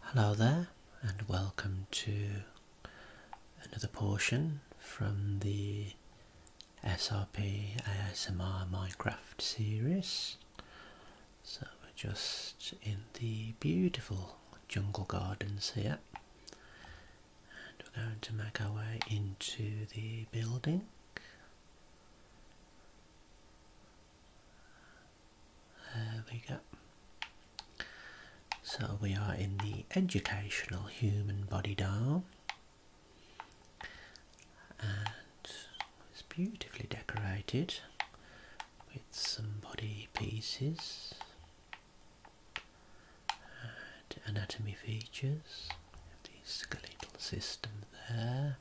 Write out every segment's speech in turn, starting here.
Hello there, and welcome to another portion from the SRP ASMR Minecraft series. So, we're just in the beautiful jungle gardens here, and we're going to make our way into the building. There we go. So we are in the educational human body dial and it's beautifully decorated with some body pieces and anatomy features. the skeletal system there.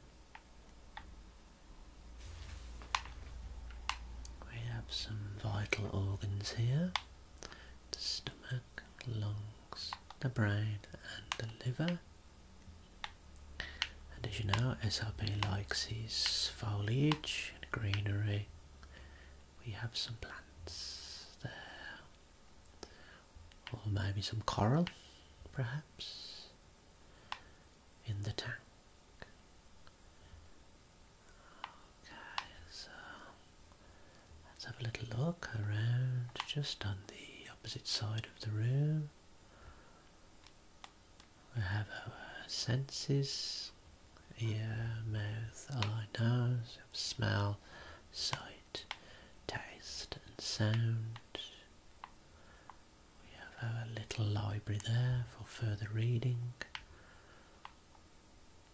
We have some vital organs here, the stomach, lungs, the brain and the liver. And as you know, SRP likes his foliage and greenery. We have some plants there. Or maybe some coral, perhaps in the tank. Okay, so let's have a little look around just on the opposite side of the room. We have our senses ear, mouth, eye, nose, smell, sight, taste, and sound. We have our little library there for further reading.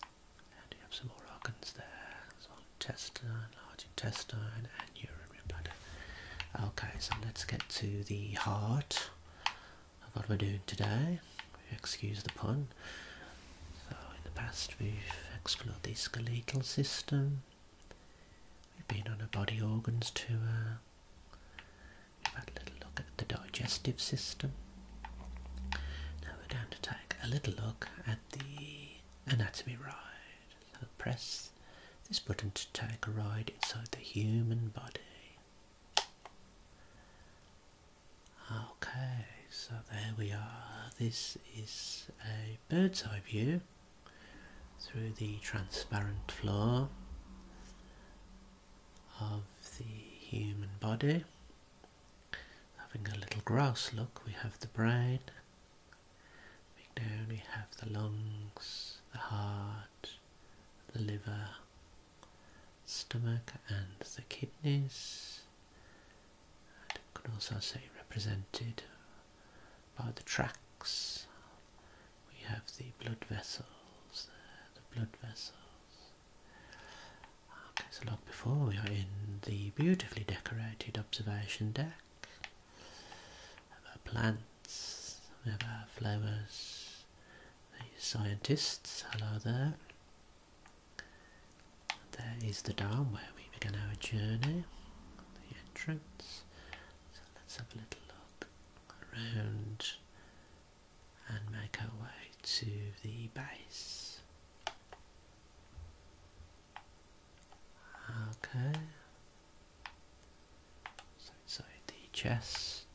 And we have some more organs there. So intestine, large intestine and urinary bladder. Okay, so let's get to the heart of what we're doing today. Excuse the pun. So in the past we've explored the skeletal system. We've been on a body organs tour. We've had a little look at the digestive system. Now we're going to take a little look at the anatomy ride. So press this button to take a ride inside the human body. Okay, so there we are. This is a bird's eye view through the transparent floor of the human body. Having a little gross look, we have the brain. Moving down, we have the lungs, the heart, the liver, stomach, and the kidneys. I could also say represented by the tracks. We have the blood vessels the blood vessels. Okay, so look, before we are in the beautifully decorated observation deck. We have our plants, we have our flowers, the scientists, hello there. there is the dam where we begin our journey, the entrance. So let's have a little look around and make our way to the base. Okay. So inside the chest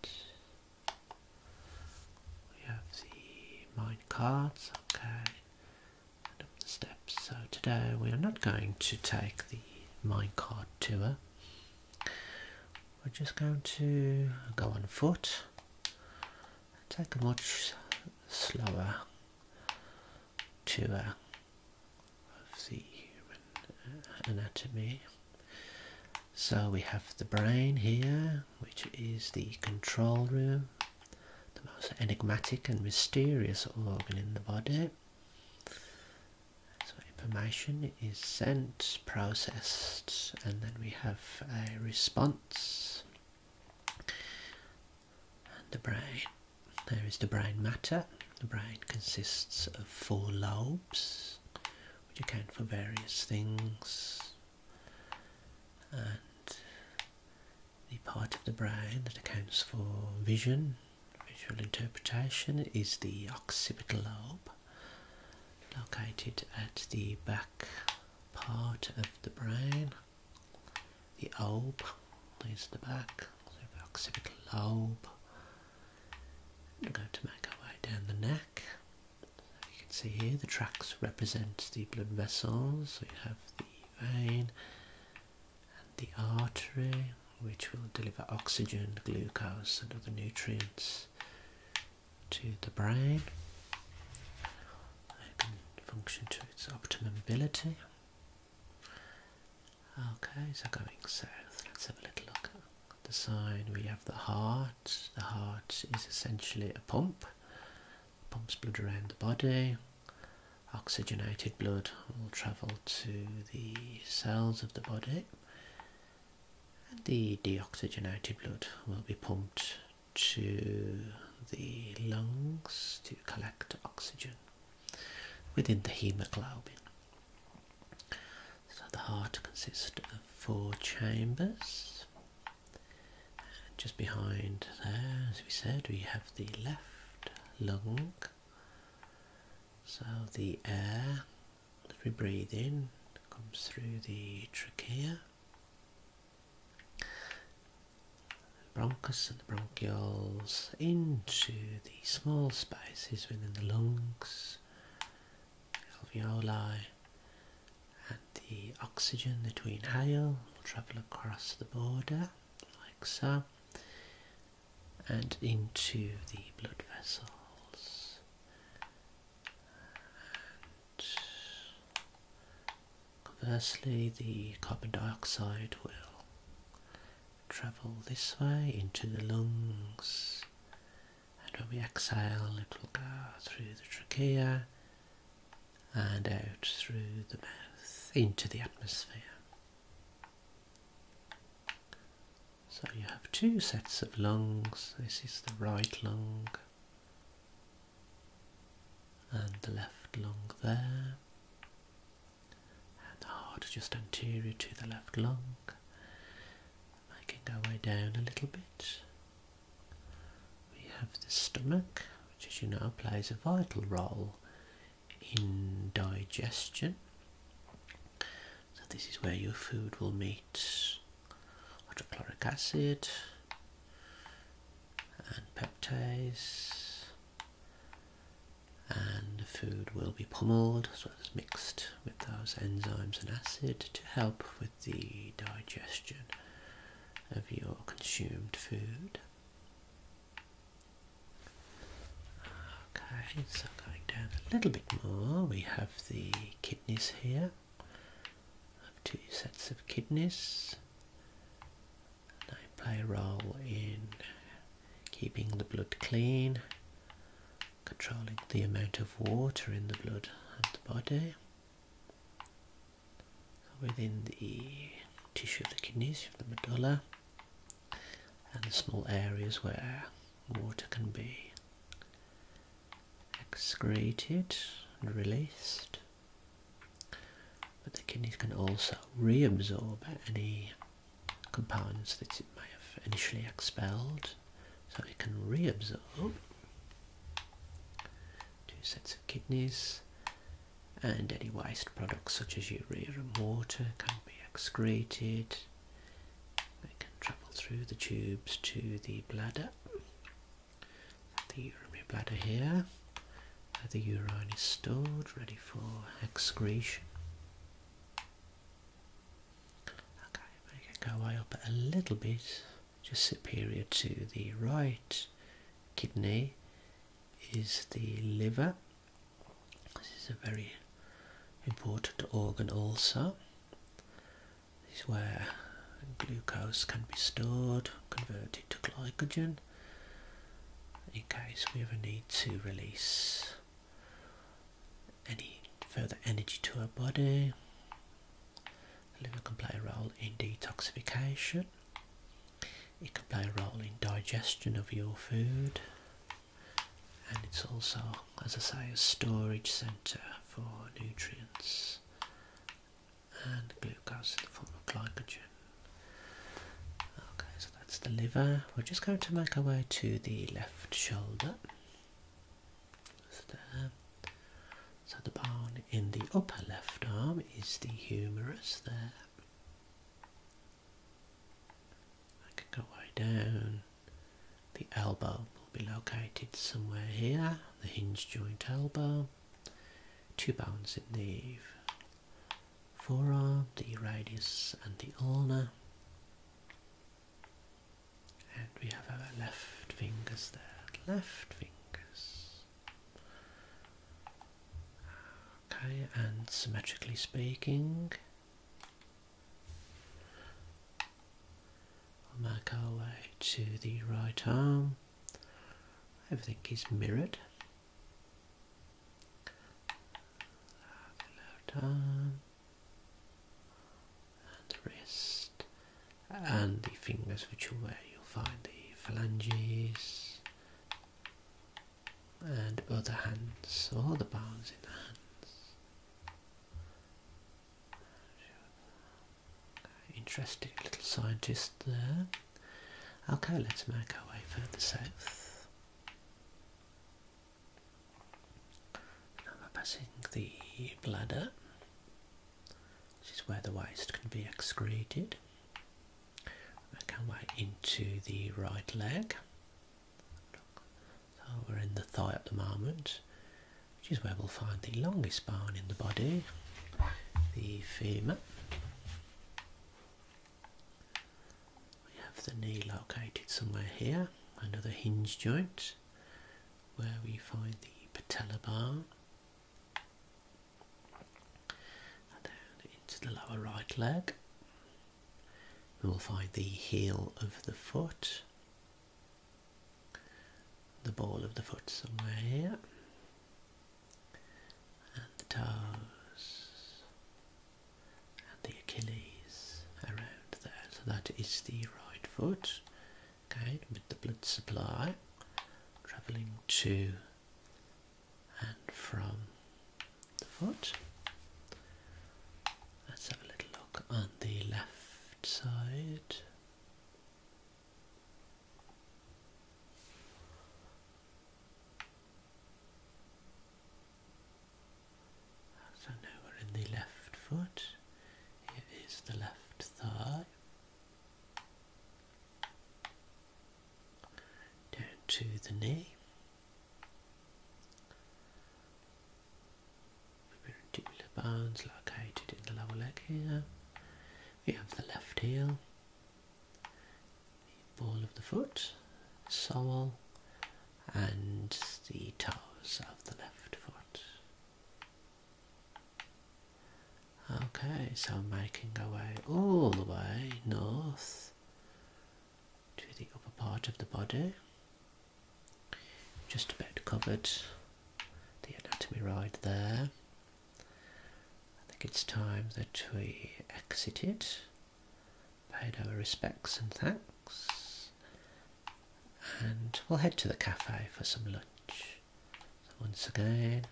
we have the mine cards, okay. up the stairs so today we are not going to take the mind card tour. We're just going to go on foot. Take a much slower tour of the human uh, anatomy. So we have the brain here, which is the control room, the most enigmatic and mysterious organ in the body. So information is sent, processed, and then we have a response. And the brain. There is the brain matter. The brain consists of four lobes, which account for various things. And the part of the brain that accounts for vision Visual interpretation is the occipital lobe located at the back part of the brain. The lobe is the back, so the occipital lobe. We're going to make our way down the neck. you can see here the tracks represent the blood vessels. So you have the vein, the artery which will deliver oxygen, glucose and other nutrients to the brain. It function to its optimum ability. Okay, so going south, let's have a little look at the sign. We have the heart. The heart is essentially a pump. pumps blood around the body oxygenated blood will travel to the cells of the body and the deoxygenated blood will be pumped to the lungs to collect oxygen within the hemoglobin. So the heart consists of four chambers. Just behind there, as we said, we have the left lung so the air that we breathe in comes through the trachea, bronchus and the bronchioles into the small spaces within the lungs, alveoli, and the oxygen that we inhale will travel across the border like so and into the blood vessels conversely the carbon dioxide will travel this way into the lungs and when we exhale it will go through the trachea and out through the mouth into the atmosphere so you have two sets of lungs. This is the right lung and the left lung there. And the heart just anterior to the left lung. Making our way down a little bit. We have the stomach, which as you know plays a vital role digestion, So this is where your food will meet hydrochloric acid and peptase and the food will be pummeled as well as mixed with those enzymes and acid to help with the digestion of your consumed food. Okay, so going down a little bit more, we have the kidneys here. I have two sets of kidneys. They play a role in keeping the blood clean, controlling the amount of water in the blood and the body within the tissue of the kidneys, the medulla, and the small areas where water can be excreted and released. But the kidneys can also reabsorb any compounds that it may have initially expelled, so it can reabsorb two sets of kidneys and any waste products such as urea and water can be excreted. They can travel through the tubes to the bladder. The urinary bladder here, the urine is stored, ready for excretion. Okay, make it go way up a little bit, just superior to the right kidney is the liver. This is a very important organ also. This is where glucose can be stored, converted to glycogen in case we ever need to release any further energy to our body. The liver can play a role in detoxification it can play a role in digestion of your food and it's also, as I say, a storage centre for nutrients and glucose in the form of glycogen. Okay, so that's the liver. We're just going to make our way to the left shoulder. So, there. so the bone in the upper left arm is the humerus there. I can go way down. The elbow will be located somewhere here, the hinge joint elbow. Two bones in the forearm, the radius and the ulna. And we have our left fingers there, left fingers. Okay, and symmetrically speaking, we'll make our way to the right arm. Everything is mirrored. The arm, and the wrist, and the fingers, which are where you'll find the phalanges and other hands, all the bones in the hands. interesting little scientist there. Okay, let's make our way further south. Now we're passing the bladder, which is where the waste can be excreted. Make our into the right leg. So we're in the thigh at the moment, which is where we'll find the longest bone in the body, the femur. We have the knee located somewhere here, another hinge joint where we find the patella bone down into the lower right leg. We will find the heel of the foot, the ball of the foot somewhere here, and the toes, and the Achilles around there. So that is the right foot, okay, with the blood supply travelling to and from the foot. Let's have a little look on the left side. So now we're in the left foot. Here is the left thigh down to the knee. Mandibular bones located in the lower leg here. We have the left heel, the ball of the foot, sole, and the toes of the left foot. Okay, so making our way all the way north to the upper part of the body. Just about covered the anatomy ride there. I think it's time that we exited, paid our respects and thanks, and we'll head to the cafe for some lunch. once again,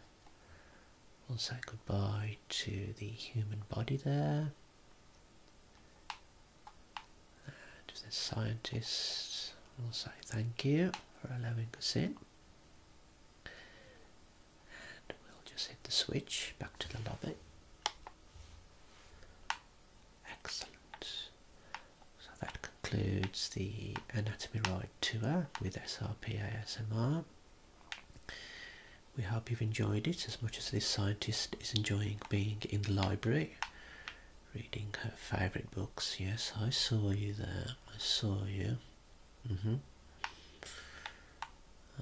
We'll say goodbye to the human body there. And the scientists, will say thank you for allowing us in. And we'll just hit the switch back to the lobby. Excellent. So that concludes the Anatomy ride tour with SRP ASMR. We hope you've enjoyed it as much as this scientist is enjoying being in the library, reading her favourite books. Yes, I saw you there. I saw you. Mm-hmm.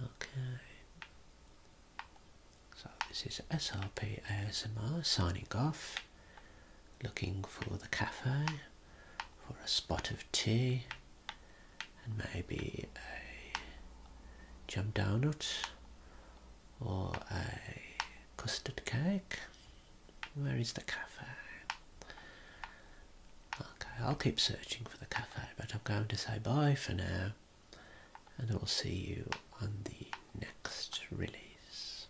Okay. So this is SRP ASMR signing off looking for the cafe, for a spot of tea, and maybe a jam donut or a custard cake. Where is the cafe? Okay, I'll keep searching for the cafe, but I'm going to say bye for now, and I will see you on the next release.